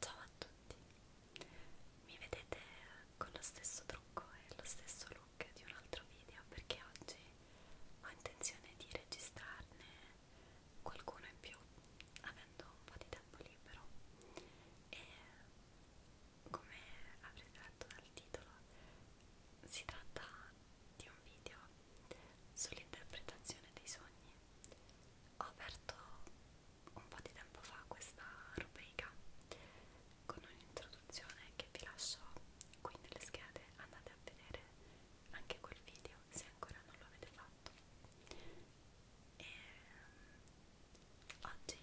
Ciao a tutti, mi vedete con lo stesso trucco e lo stesso look di un altro video perché oggi ho intenzione di registrarne qualcuno in più avendo un po' di tempo libero e come avrete letto dal titolo, si tratta di un video sull'interpretazione dei sogni. Ho aperto un po' di tempo fa questa rubrica con un'introduzione che vi lascio qui nelle schede, andate a vedere anche quel video se ancora non lo avete fatto. E Oggi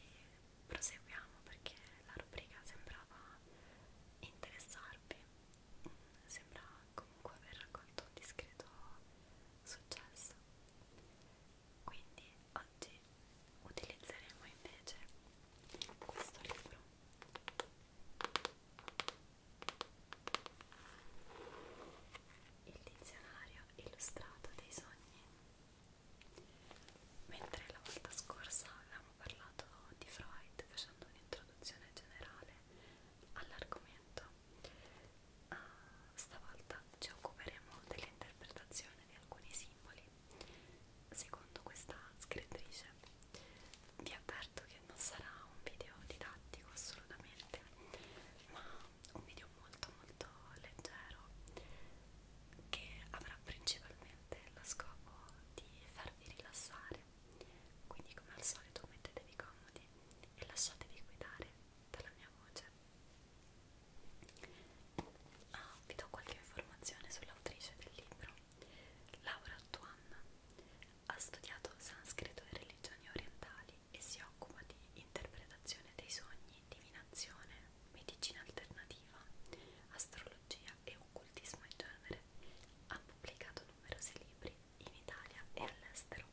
proseguiamo perché la rubrica sembrava interessarvi, sembra comunque aver raccolto un discreto successo. Quindi oggi utilizzeremo invece questo libro. Il dizionario illustrato dei sogni Mentre la volta scorsa avevamo parlato di Freud facendo un'introduzione generale all'argomento, uh, stavolta ci occuperemo dell'interpretazione di alcuni simboli secondo questa scrittrice. Vi avverto che non sarà un video didattico assolutamente, ma un video video molto molto leggero che avrà principalmente lo scopo di farvi rilassare quindi come al solito mettetevi comodi e lasciatevi guidare dalla mia voce ah, vi do qualche informazione sull'autrice del libro Laura Tuan ha studiato sanscrito e religioni orientali e si occupa di interpretazione dei sogni divinazione, medicina alternativa, astrologia e occultismo in genere, ha pubblicato numerosi libri in Italia e all'estero.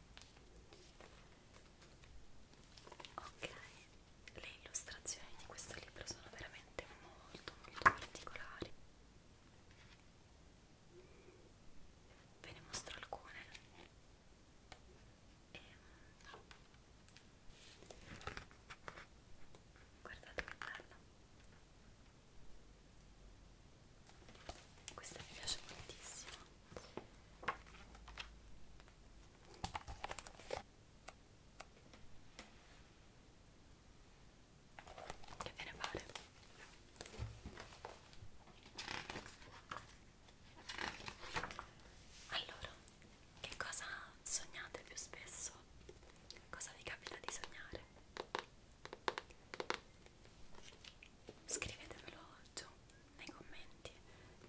Ok, le illustrazioni di questo libro sono veramente molto molto particolari. Ve ne mostro alcune. E, ehm, Guardate che bello. Questa mi piace moltissimo. Che ve ne pare? Allora, che cosa sognate più spesso? Cosa vi capita di sognare? Scrivetemelo giù nei commenti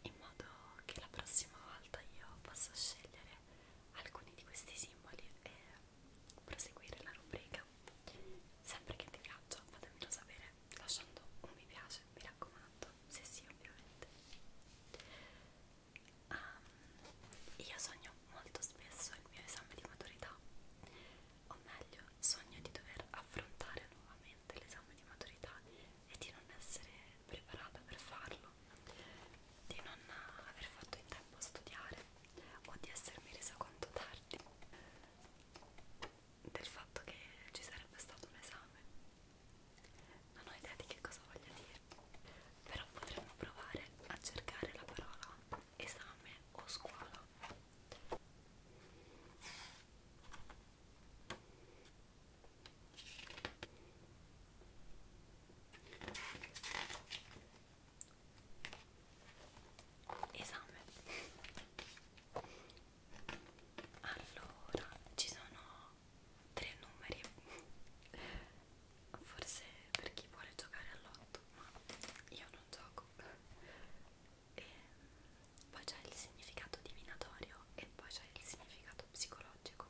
in modo che la prossima volta io possa scegliere alcuni di questi simboli e proseguire la rubrica. Sempre che ti piaccia, fatemelo sapere lasciando un mi piace, mi raccomando, se sì ovviamente. Um, io sogno molto spesso il mio esame di maturità, o meglio sogno di dover affrontare nuovamente l'esame di maturità e di non essere preparata per farlo, di non aver fatto in tempo a studiare o di essermi resa conto tardi del fatto che ci sarebbe stato un esame. Non ho idea di che cosa voglia dire, però potremmo provare a cercare la parola esame o scuola. Esame allora ci sono tre numeri forse per chi vuole giocare all'otto ma io non gioco e poi c'è il significato divinatorio e poi c'è il significato psicologico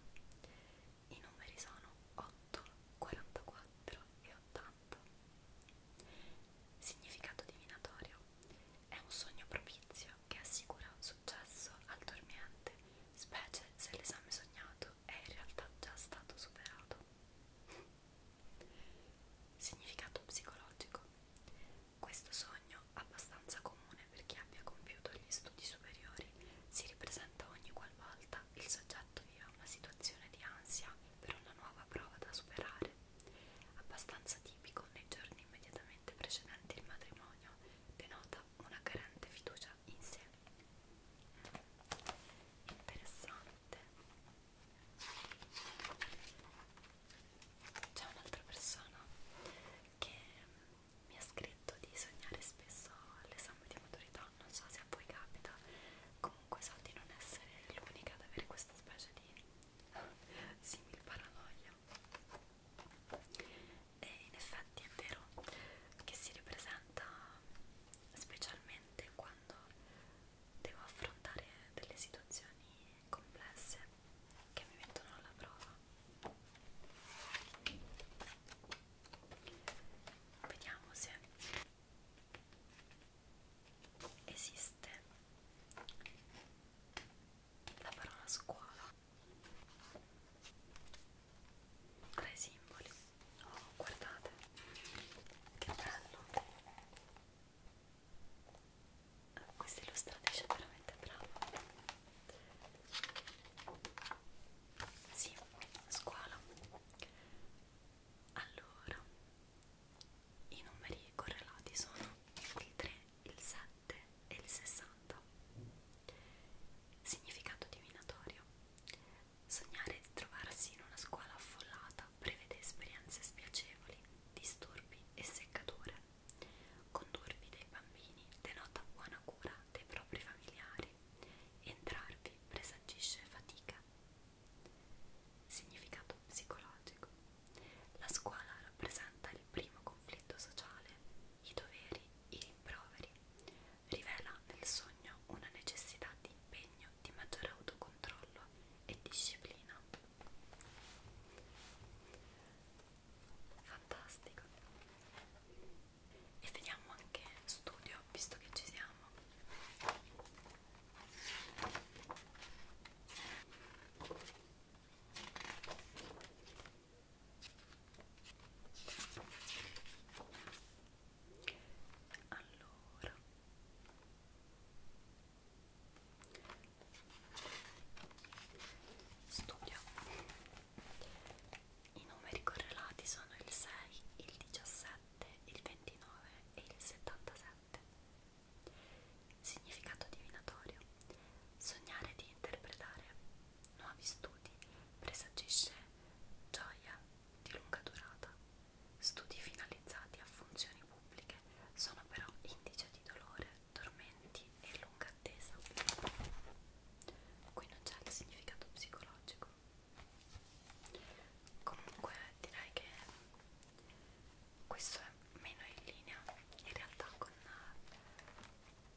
i numeri sono 8 44 e 80 Significato divinatorio. È un sogno propizio che assicura un successo al dormiente, specie se l'esame sognato è in realtà già stato superato. Significato psicologico. Questo sogno, abbastanza comune per chi abbia compiuto gli studi superiori, si ripresenta ogni qualvolta il soggetto viva una situazione di ansia per una nuova prova da superare, abbastanza tipico nei giorni immediatamente precedenti il matrimonio, denota una carente fiducia in sé. Interessante. C'è un'altra persona che mi ha scritto di sognare spesso all'esame di maturità, non so se a voi capita, comunque so di non essere l'unica ad avere questa specie di simil paranoia e in effetti è vero che si ripresenta specialmente quando devo affrontare delle situazioni complesse che mi mettono alla prova vediamo se esiste la parola scuola tra i simboli oh guardate che bello ah, questa illustratrice è veramente brava sì, scuola allora i numeri correlati sono il 3, il 7 e il 60. Significato divinatorio. Sognare di trovarsi in una scuola affollata prevede esperienze spiacevoli, disturbi e seccature. Condurvi dei bambini denota buona cura dei propri familiari. Entrarvi presagisce fatica Significato psicologico. La scuola rappresenta il primo conflitto sociale, i doveri, i rimproveri. Rivela nel sogno una necessità di impegno, di maggiore autocontrollo e disciplina. Fantastico. E vediamo anche studio, visto che ci siamo. Allora studio i numeri correlati sono il 6, il 17, 27, il 29 e il 77. Significato divinatorio. Sognare di interpretare. Nuovi studi. Presagisce gioia di lunga durata. Studi finalizzati a funzioni pubbliche sono però indice di dolore, tormenti e lunga attesa. Qui non c'è il significato psicologico comunque direi che questo è meno in linea in realtà con eh,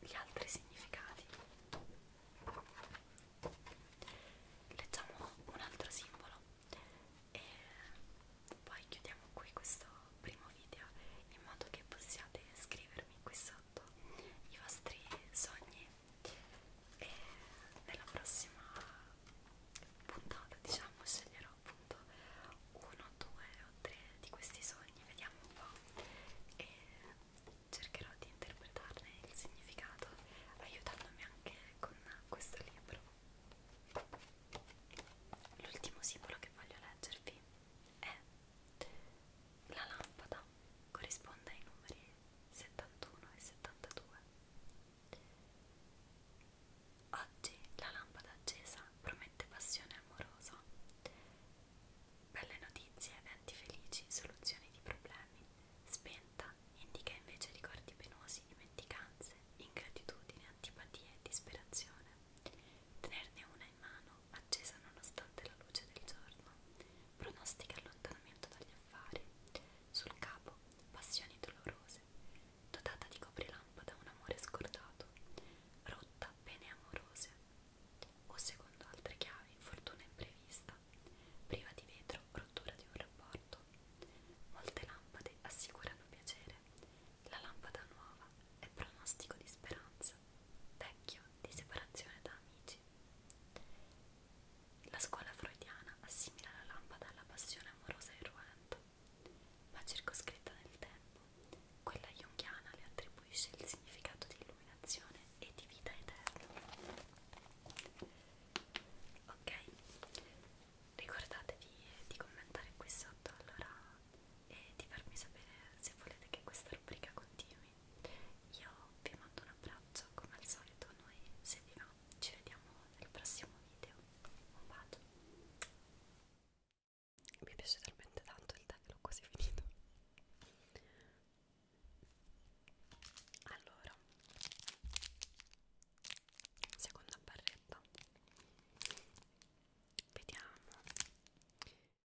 gli altri significati leggiamo un altro simbolo e poi chiudiamo qui questo primo video in modo che possiate scrivermi qui sotto i vostri sogni e nella prossima puntata diciamo sceglierò appunto uno, due o tre di questi sogni, vediamo un po' e cercherò di interpretarne il significato aiutandomi anche con questo libro. L'ultimo simbolo che voglio leggervi è la lampada corrisponde ai numeri 71 e 72. Oggi la lampada accesa promette passione amorosa, belle notizie, eventi felici, soluzioni di problemi, spenta indica invece ricordi penosi, dimenticanze, ingratitudine, antipatie e disperazione. Tenerne una in mano, accesa nonostante la luce del giorno, pronostica allontanamento dagli affari, sul capo passioni dolorose, dotata di coprilampa da un amore scordato, rotta pene amorose, o secondo altre chiavi fortuna imprevista, priva di vetro rottura di un rapporto. Molte lampade assicurano piacere, la lampada nuova è pronostico di speranza, vecchio di separazione da amici tutti. La scuola freudiana assimila la lampada alla passione amorosa e irruenta, ma circoscritta nel tempo, quella junghiana le attribuisce il significato di illuminazione e di vita eterna. Ok, ricordatevi di commentare qui sotto allora e di farmi sapere se volete che questa rubrica continui programmi. Io vi mando un abbraccio come al solito, noi se vi va ci vediamo nel prossimo video. Un bacio. Mi piace talmente tanto il tag, l'ho quasi finito. Allora, seconda barretta. Vediamo